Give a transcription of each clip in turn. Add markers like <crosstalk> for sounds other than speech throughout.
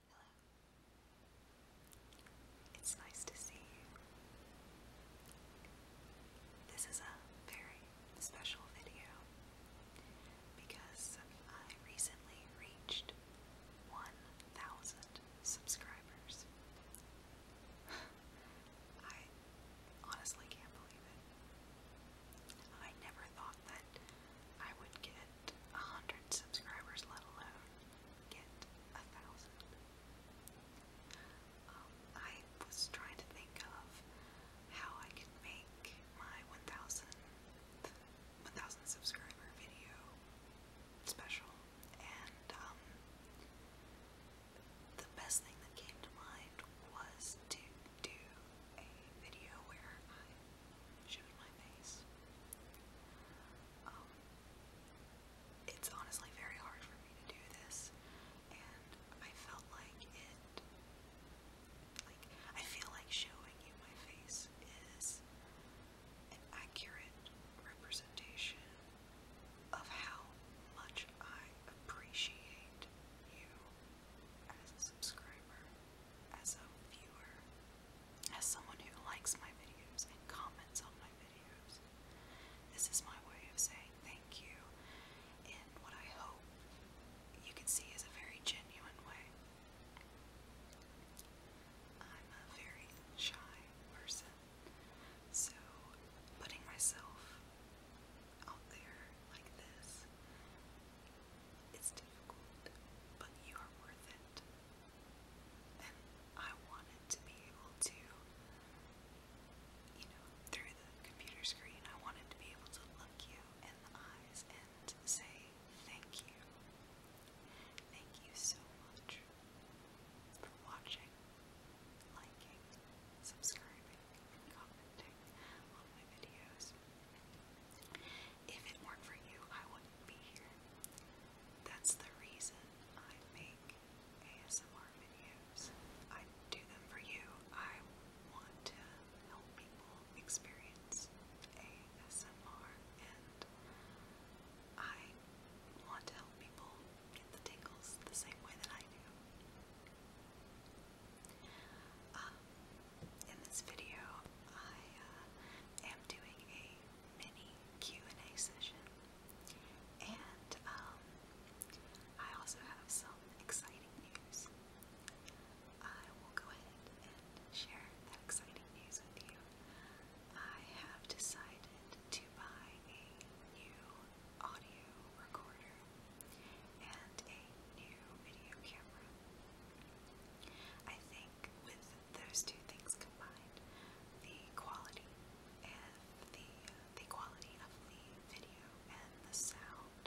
Hello. It's nice to see you. This is a very special video because I recently reached 1,000 subscribers. <sighs> I honestly can't believe it. I never thought that I would get a hundred subscribers, let alone get a thousand. Um, I was trying to think of how I could make my 1,000 subscriber video special, and um, the best thing that came to mind was to do a video where I showed my face. Um, it's honestly very hard for me to do this, and I felt like it. Like, I feel like showing you my face is an accurate representation of how much I appreciate you as a subscriber, as a viewer, as someone who likes my videos and comments on my videos. This is my way of saying thank you in what I hope you can see is a very genuine way. I'm a very shy person, so putting myself out there like this is difficult, but you are worth it. And I wanted to be able to, you know, through the computer screen, I wanted to be able to look you in the eyes and say thank you Thank you so much for watching, liking, subscribing, commenting on my videos. If it weren't for you, I wouldn't be here. That's the reason I make ASMR videos. I do them for you. I want to help people experience ASMR I want to help people get the tingles the same way that I do. Um, in this video, I uh, am doing a mini Q&A session, and um, I also have some exciting news. I will go ahead and share that exciting news with you. I have decided to buy a new audio recorder and a new video camera. I think with those two things combined, the quality and the the quality of the video and the sound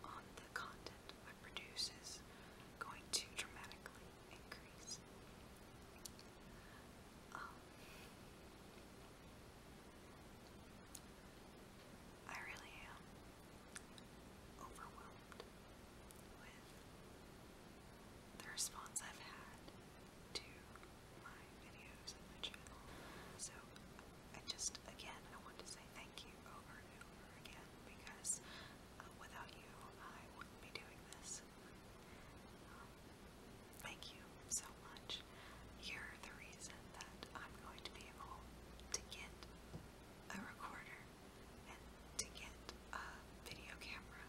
on the content I produce is going to dramatically increase. Um, I really am overwhelmed with the response I've had to my videos and my channel. So I just, again, I want to say thank you over and over again because uh, without you, I wouldn't be doing this. Thank you so much. You're the reason that I'm going to be able to get a recorder and to get a video camera.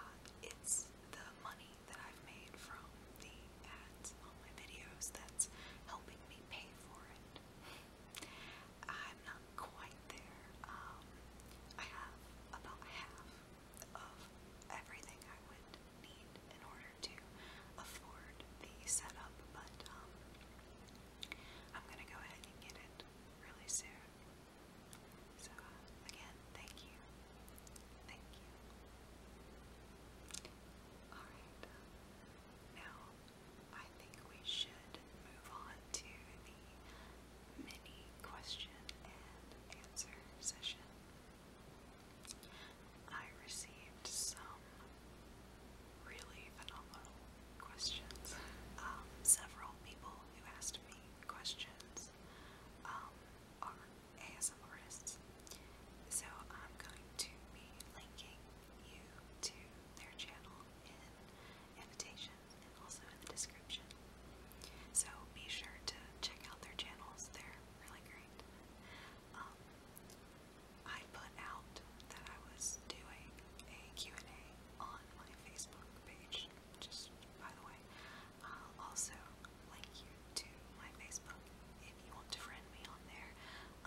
Um, it's the money that I've made from the ads on my videos that's helping me pay for it. I'm not quite there. Um, I have about half of everything I would need in order to afford the setup, but um, I'm gonna go ahead and get it really soon. So, again, thank you. Thank you. Alright, now I think we should move on to the mini question and answer session. I received some really phenomenal questions. Um, several people who asked me questions um, are ASM so I'm going to be linking you to their channel in invitation also in the description. So be sure to check out their channels, they're really great. Um, I put out that I was doing a and a on my Facebook page, just by the way. will also link you to my Facebook if you want to friend me on there.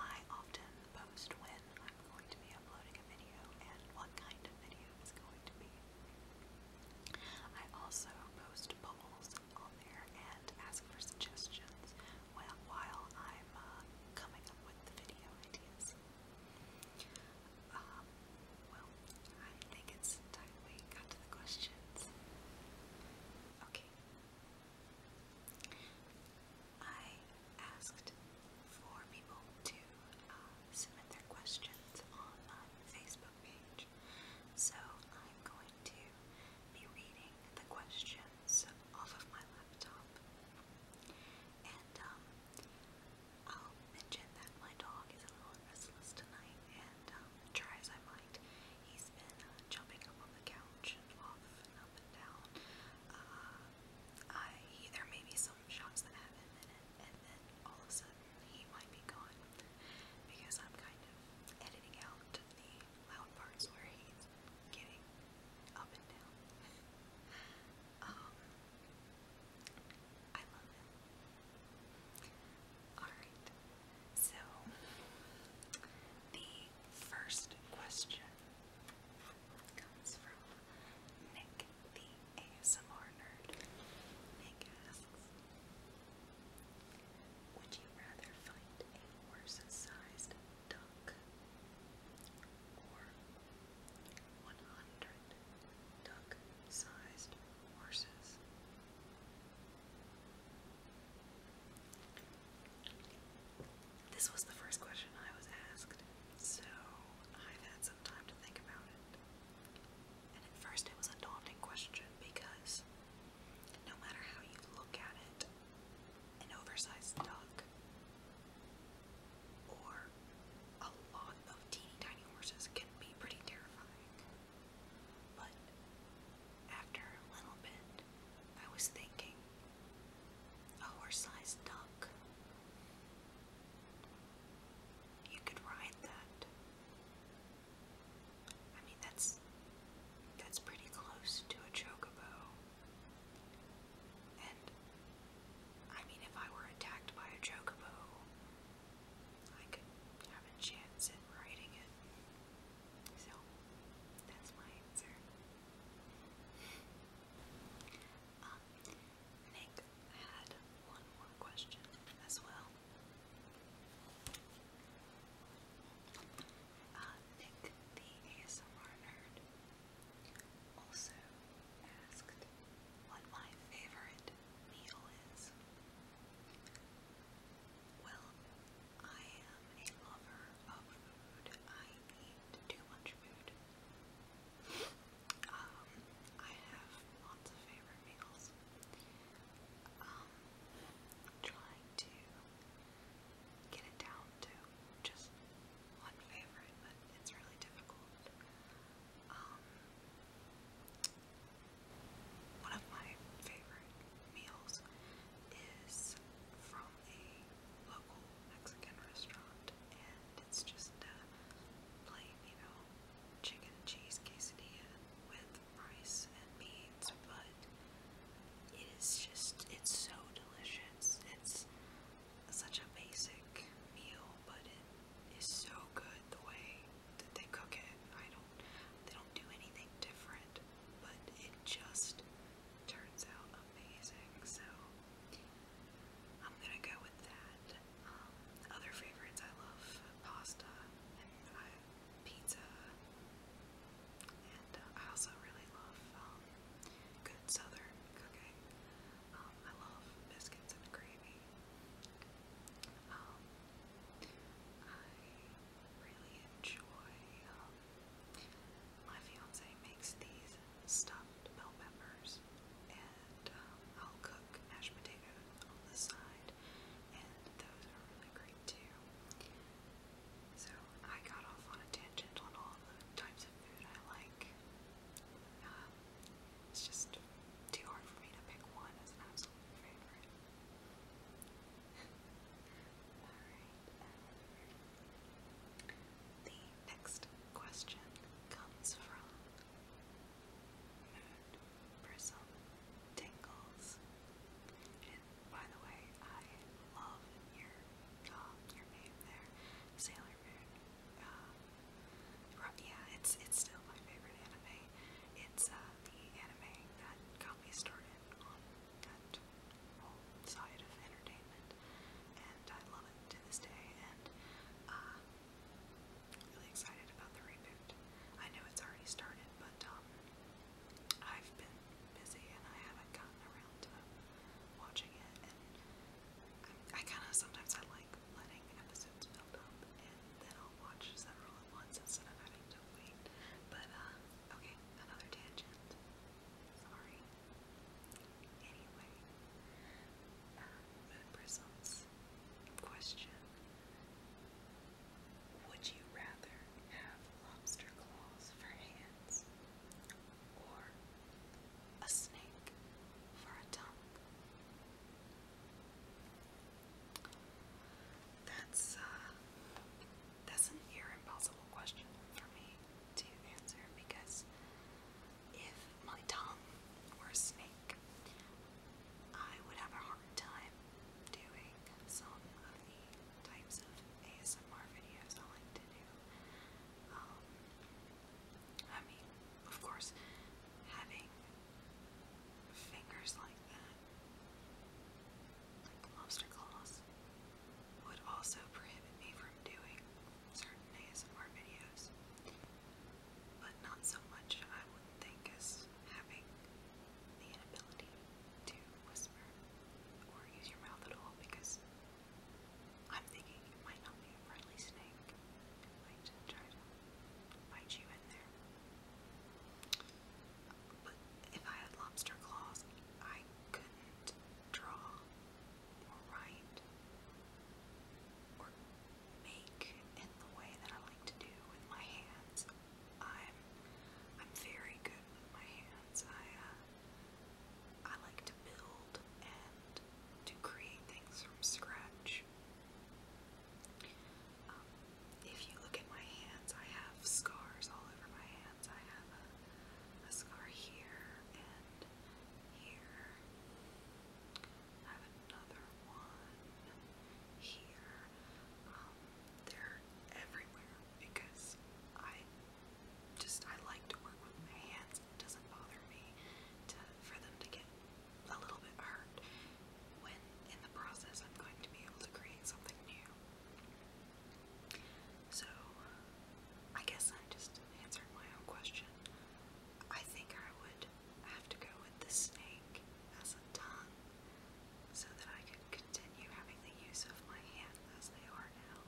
I often post when I'm going to be uploading a video and what kind of video it's going to be. I also post polls on there and ask for suggestions while, I'm uh, coming up with video ideas. Um, well, I think it's time we got to the questions. Okay. I asked for people to um, submit their questions on my Facebook page. So I'm going to be reading the questions off of my laptop. And um, I'll mention that my dog is a little restless tonight, and um, try as I might, he's been uh, jumping up on the couch and off and up and down. Uh, I, there may be some some shots that have him in it, and then all of a sudden he might be gone because I'm kind of editing out the loud parts where he's getting up and down. <laughs> um, I love him. Alright, so the first question comes from Nick the ASMR nerd. Nick asks, would you rather fight a horse-sized duck or 100 duck-sized horses? This was the first question I was asked, so I've had some time to think about it. And at first it was a daunting question because no matter how you look at it, an oversized duck or a lot of teeny tiny horses can be pretty terrifying. But after a little bit, I was thinking a horse sized duck you could write that. I mean, that's that's pretty close to a chocobo. And I mean, if I were attacked by a chocobo, I could have a chance at riding it. So that's my answer. Um, I think had one more question as well. Uh, Nick, the ASMR nerd, also asked what my favorite meal is. Well, I am a lover of food. I eat too much food. Um, I have lots of favorite meals. Um, trying to get it down to just one favorite, but it's really difficult. Um, one of my favorite meals is from a local Mexican restaurant, and it's just a uh, plain, you know, chicken and cheese quesadilla with rice and beans, but it is just, it's so delicious. It's such a basic meal, but it is so good the way that they cook it. I don't, they don't do anything different, but it just turns out amazing. So I'm gonna go with that. Um, other favorites I love pasta and uh, pizza, and uh, I also really love um, good southern cooking. Um, I love biscuits and gravy. I really enjoy. my fiance makes these stuffed bell peppers, and um, I'll cook mashed potatoes on the side, and those are really great too. So I got off on a tangent on all the types of food I like. Um, it's just too hard for me to pick one as an favorite. <laughs> Alright, um, the next question comes from mood, tingles. And by the way, I love your your name there, Sailor Moon. Um, yeah, it's it's still my favorite anime. It's uh, the anime that got me started on that whole side of entertainment, and I love it to this day. And uh, Really excited about the reboot. I know it's already started, but um, I've been busy and I haven't gotten around to watching it. And I, kind of sometimes I like letting episodes build up and then I'll watch several at once instead of having to wait. But uh, okay, another tangent. Sorry. Anyway, uh, question. Would you rather have lobster claws for hands or a snake for a tongue? That's uh that's an impossible question for me to answer because if my tongue were a snake, I would have a hard time doing some of the types of ASMR videos I like to do. Um, I mean, of course, having fingers like that, like lobster claws, would also prohibit me from doing certain ASMR videos but not so much, I wouldn't think, as having the inability to whisper or use your mouth at all because I'm thinking you might not be a friendly snake. It might try to bite you in there. But if I had lobster claws, I couldn't draw or write or make in the way that I like to do with my hands. I'm I'm very good with my hands. I uh, I like to build and to create things from scratch. Um, if you look at my hands, I have scars all over my hands. I have a scar here and here. I have another one here. they're everywhere because I just I like to work with my hands. It doesn't bother me to for them to get a little bit hurt when in the process I'm going to be able to create something new. So I guess i just answering my own question. I think I would I have to go with the snake as a tongue so that I can continue having the use of my hands as they are now.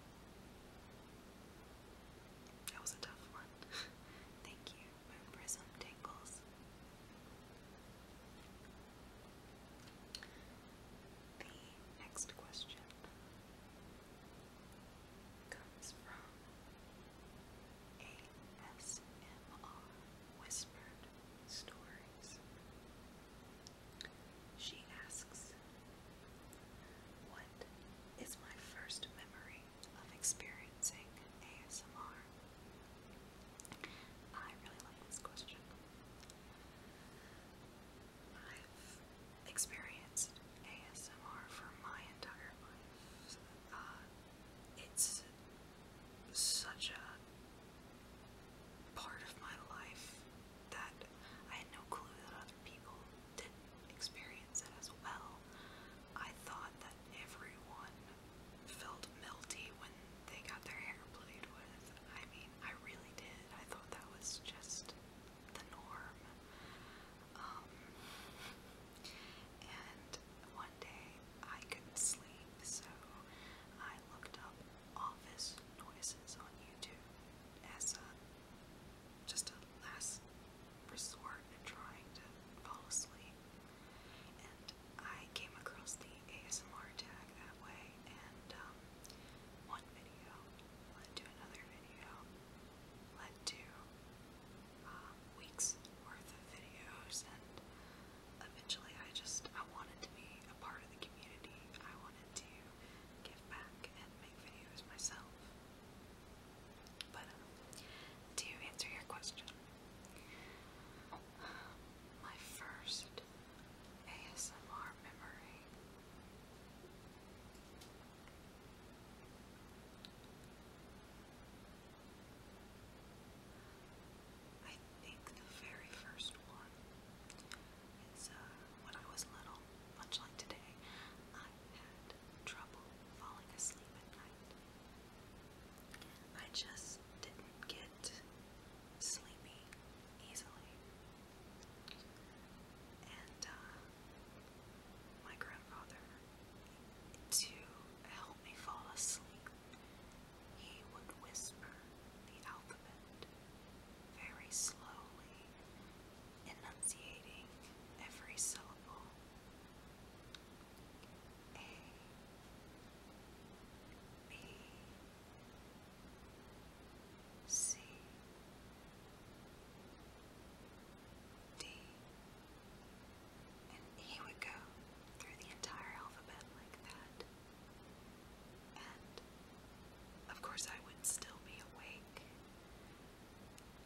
That was a tough one. <laughs> Thank you, Moon Prism Tingles. The next question comes from ASMR Whispered Stories. She asks, What is my first memory of experiencing ASMR? I really like this question. I've experienced ASMR for my entire life. Uh, it's such a part of my life that I had no clue that other people didn't experience it as well. I thought that everyone felt melty when they got their hair played with. I mean, I really did. I thought that was just the norm. Um, and one day I couldn't sleep, so I looked up office noises on YouTube as a, just a last resort in trying to fall asleep. And I came across the ASMR tag that way, and um, one video led to another video, led to uh, weeks worth of videos and eventually I just I wanted to be a part of the community. I wanted to give back and make videos myself. But um, to answer your question, my first ASMR memory I think the very first one is uh, when I was little, much like today, I had trouble falling asleep at night. I just didn't get sleepy easily. And uh, my grandfather to help me fall asleep, he would whisper the alphabet very slowly, enunciating every syllable. A, B, C, D. E and he would go through the entire alphabet like that. And of course, I would still be awake.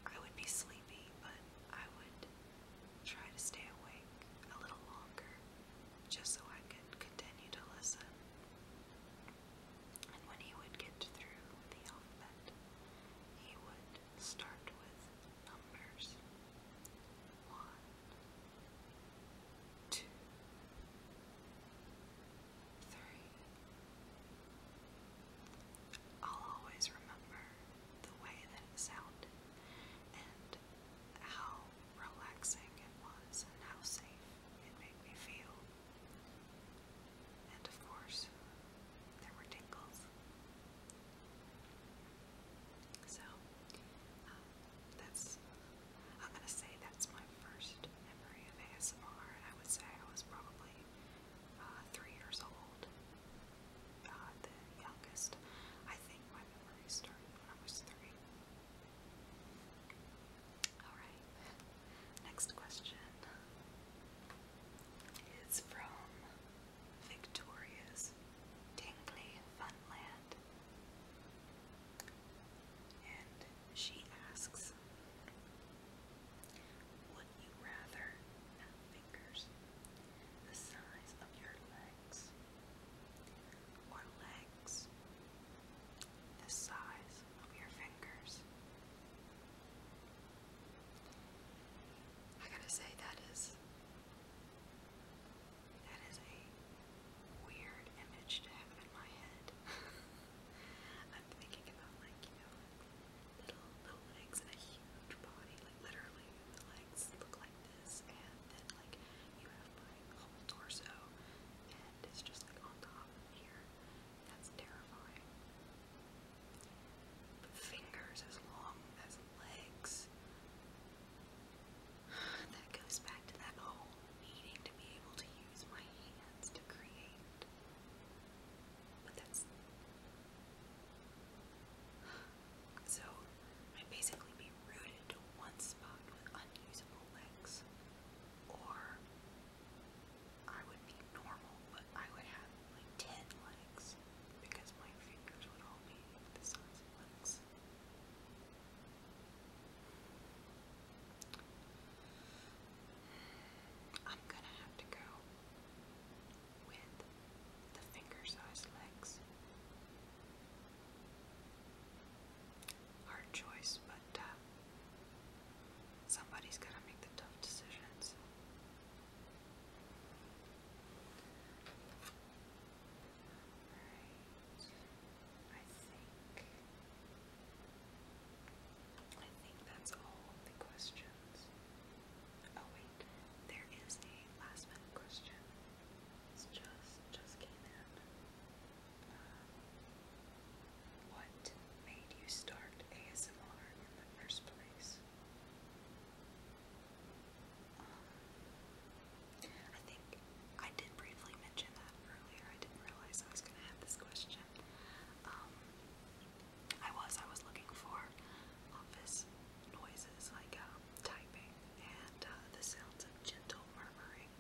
I would be sleepy, but I would try to stay awake a little longer just so I could continue to listen. And when he would get through the alphabet, he would start with numbers one, two, three. I'll always remember the way that it sounded and how relaxing it was and how safe it made me feel. And of course, there were tingles. So, um, that's, I'm gonna say that's my first memory of ASMR. I would say I was probably uh, three years old, uh, the youngest. I think my memory started when I was three. Alright, next question is from Victorious, Tingly Funland. And she asks, Would you rather the size of your legs or legs the size of your fingers? I gotta say, that is that is a weird image to have in my head. <laughs> I'm thinking about like, you know, little legs and a huge body. Like literally the legs look like this and then like you have my whole torso and it's just like on top here. That's terrifying fingers as long as legs. That goes back to that whole needing to be able to use my hands to create. But that's. So, i basically be rooted to one spot with unusable legs. Or I would be normal, but I would have like 10 legs because my fingers would all be the size of legs. I'm gonna have to go with the finger sized legs. Hard choice, but uh, somebody's gotta make the tough decisions. Right. I think that's all the questions. Oh wait, there is a last minute question. It's just just came in. what made you start ASMR in the first place? I think I did briefly mention that earlier. I didn't realize I was going to have this question. Um, I was. I was looking for office noises like uh, typing and uh, the sounds of gentle murmuring.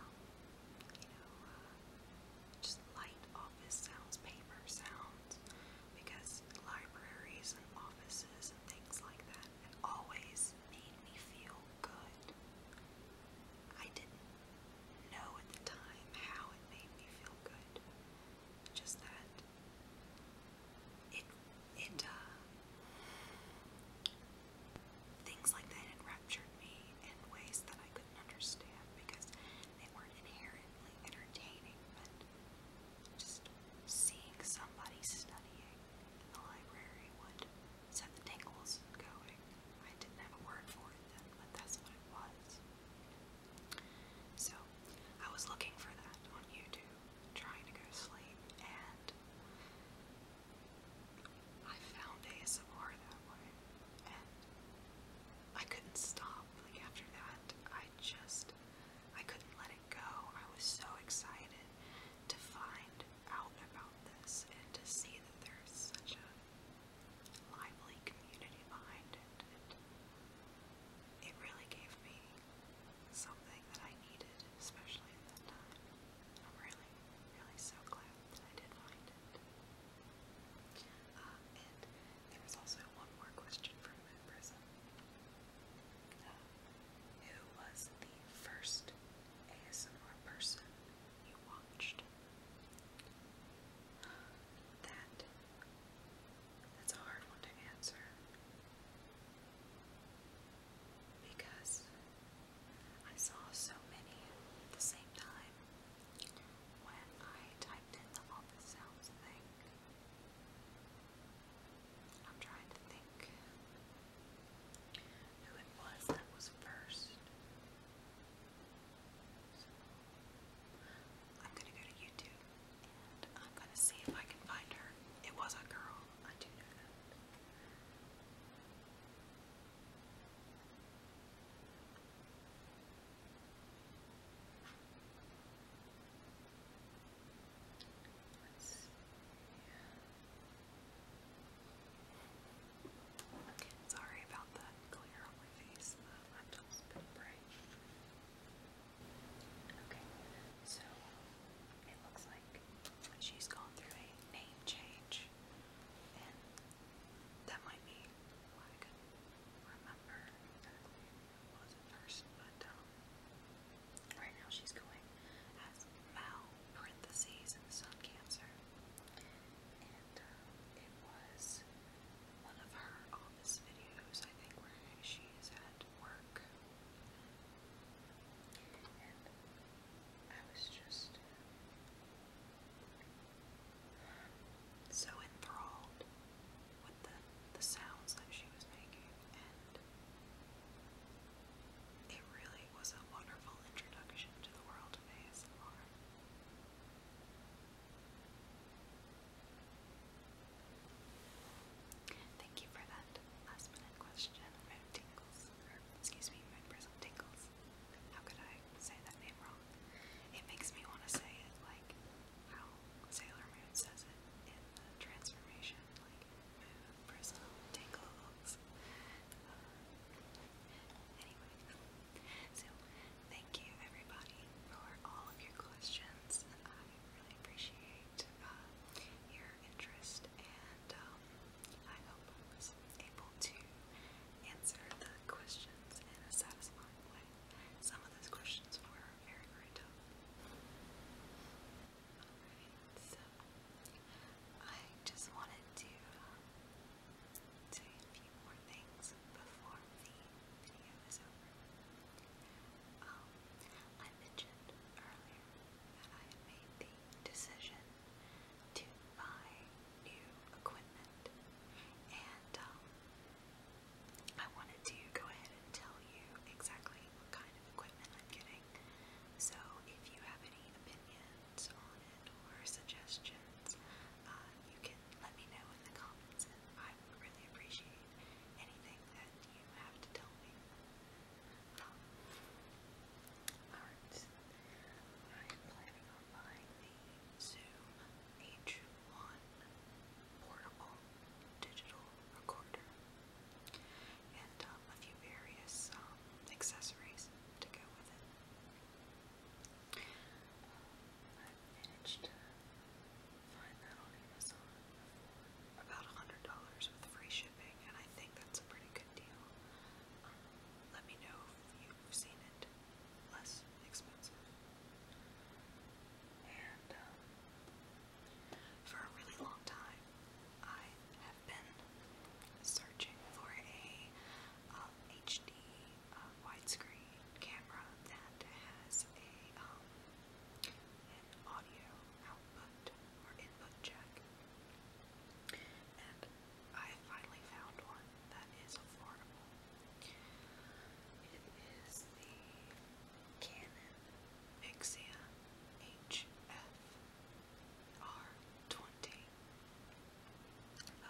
Um, you know, uh, just light office sounds, paper sounds because libraries and offices and things like that have always made me feel good. I didn't know at the time how it made me feel good, just that it, it, uh, things like that enraptured me in ways that I couldn't understand because they weren't inherently entertaining, but just seeing somebody studying in the library would set the tingles going. I didn't have a word for it then, but that's what it was. So I was looking for that on YouTube, trying to go to sleep, and I found ASMR that way. And I couldn't stop. Like after that, I just I couldn't let go. I was so excited to find out about this and to see that there's such a lively community behind it. it. It really gave me something that I needed, especially at that time. I'm really, really so glad that I did find it. Uh, and there was also one more question from Moon Prism. Who was the first ASMR person you watched? That that's a hard one to answer because I saw so many at the same time when I typed in the sounds thing. I'm trying to think who it was that was first. I'm gonna go to YouTube and I'm gonna see if I can find her. It was a girl, I do know that. Sorry about that glare on my face. Um, I'm bright. Okay, so it looks like she's gone through a name change, and that might be why I couldn't remember was first, but um, right now she's going as Mal parentheses Sun Cancer, and uh, it was one of her office videos, I think, where she's at work, and I was just. So enthralled with the, the sounds that she was making, and it really was a wonderful introduction to the world of ASMR. Thank you for that last minute question. Moon Tingles, excuse me, Moon Prism Tingles. How could I say that name wrong? It makes me want to say it like how Sailor Moon says it in transformation, like move, bristle, tingles. Uh, anyway, so thank you everybody for all of your questions. I really appreciate uh, your interest, and um, I hope I was able to answer the questions in a satisfying way. Some of those questions were very, very tough so I just wanted to uh, a few more things before the video is over. Um, I mentioned earlier that I made the decision to buy new equipment, and um, I wanted to go ahead and tell you exactly what kind of equipment I'm getting. So if you have any opinions on it or suggestions, uh, you can let me know in the comments and I would really appreciate anything that you have to tell me. Um, Alright, I'm planning on buying the Zoom H1 portable digital recorder and um, a few various um, accessories to go with it. Um, I managed to find that on Amazon for about $100 with free shipping, and I think that's a pretty good deal. Um, let me know if you've seen it less expensive. And um, for a really long time, I have been searching for a um, HD uh, widescreen camera that has a um, audio output or input jack, and I finally found one that is affordable. It is the Canon Ixia HF 20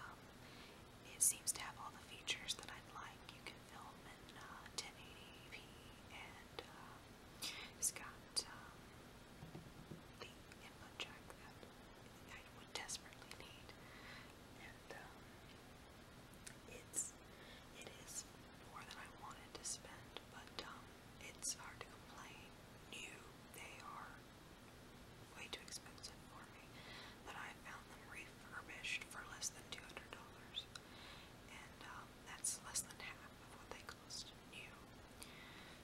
um, it seems to have all the features that I'd like. You can film in 1080p, uh, and uh, it's got um, the input jack that I would desperately need. And um, it's is it is more than I wanted to spend, but um, it's hard to complain. New, they are way too expensive for me, but I found them refurbished for less than two hundred dollars, and um, that's less than half of what they cost new.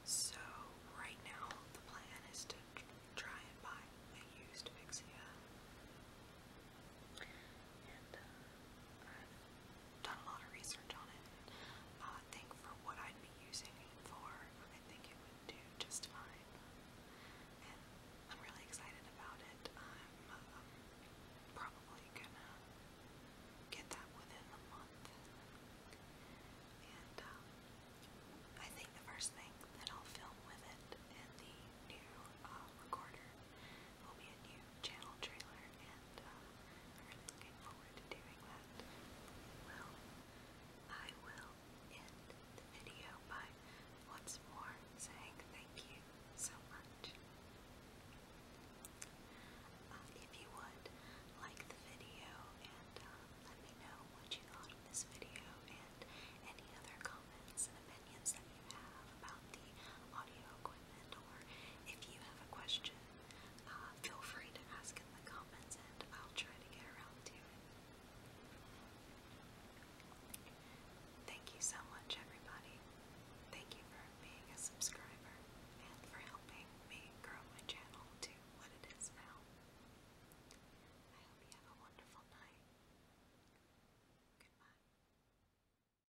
So right now the plan is to try and buy a used Vixia uh, i done a lot of research on it. I think for what I'd be using it for, I think it would do just fine. I'm really excited about it. I'm um, probably gonna get that within the month. And um, I think the first thing that I'll film with it the new uh, recorder will be a new channel trailer, and uh, looking forward to doing that. Well, I will end the video by once more saying thank you so much. Uh, if you would like the video and uh, let me know what you thought of this video and any other comments and opinions that you have about the audio if you have a question, uh, feel free to ask in the comments and I'll try to get around to it. Thank you so much, everybody. Thank you for being a subscriber and for helping me grow my channel to what it is now. I hope you have a wonderful night. Goodbye.